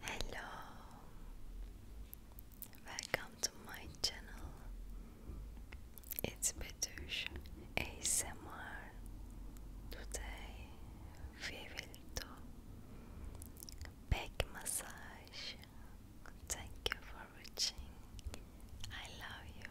Hello, welcome to my channel. It's Betush ASMR. Today we will do back massage. Thank you for watching. I love you.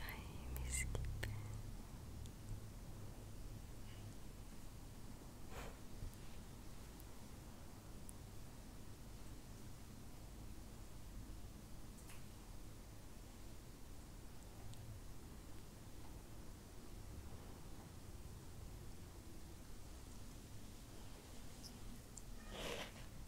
Ay, mis gibi.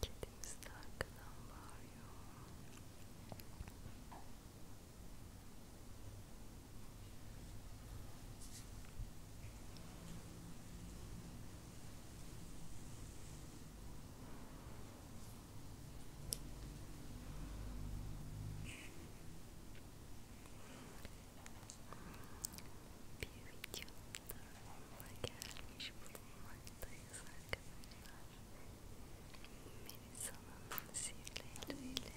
Getting stuck down by you. durumuna gelmiş bulunmaktayız arkadaşlar. Melisa'nın sihirli eliyle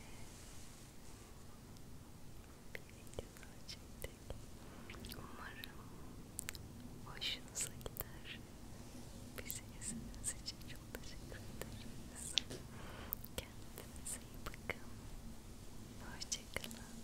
bir video daha çektik. Umarım hoşunuza gider. Bizi izlediğiniz için çok teşekkür ederiz. Kendinize iyi bakın. Hoşçakalın.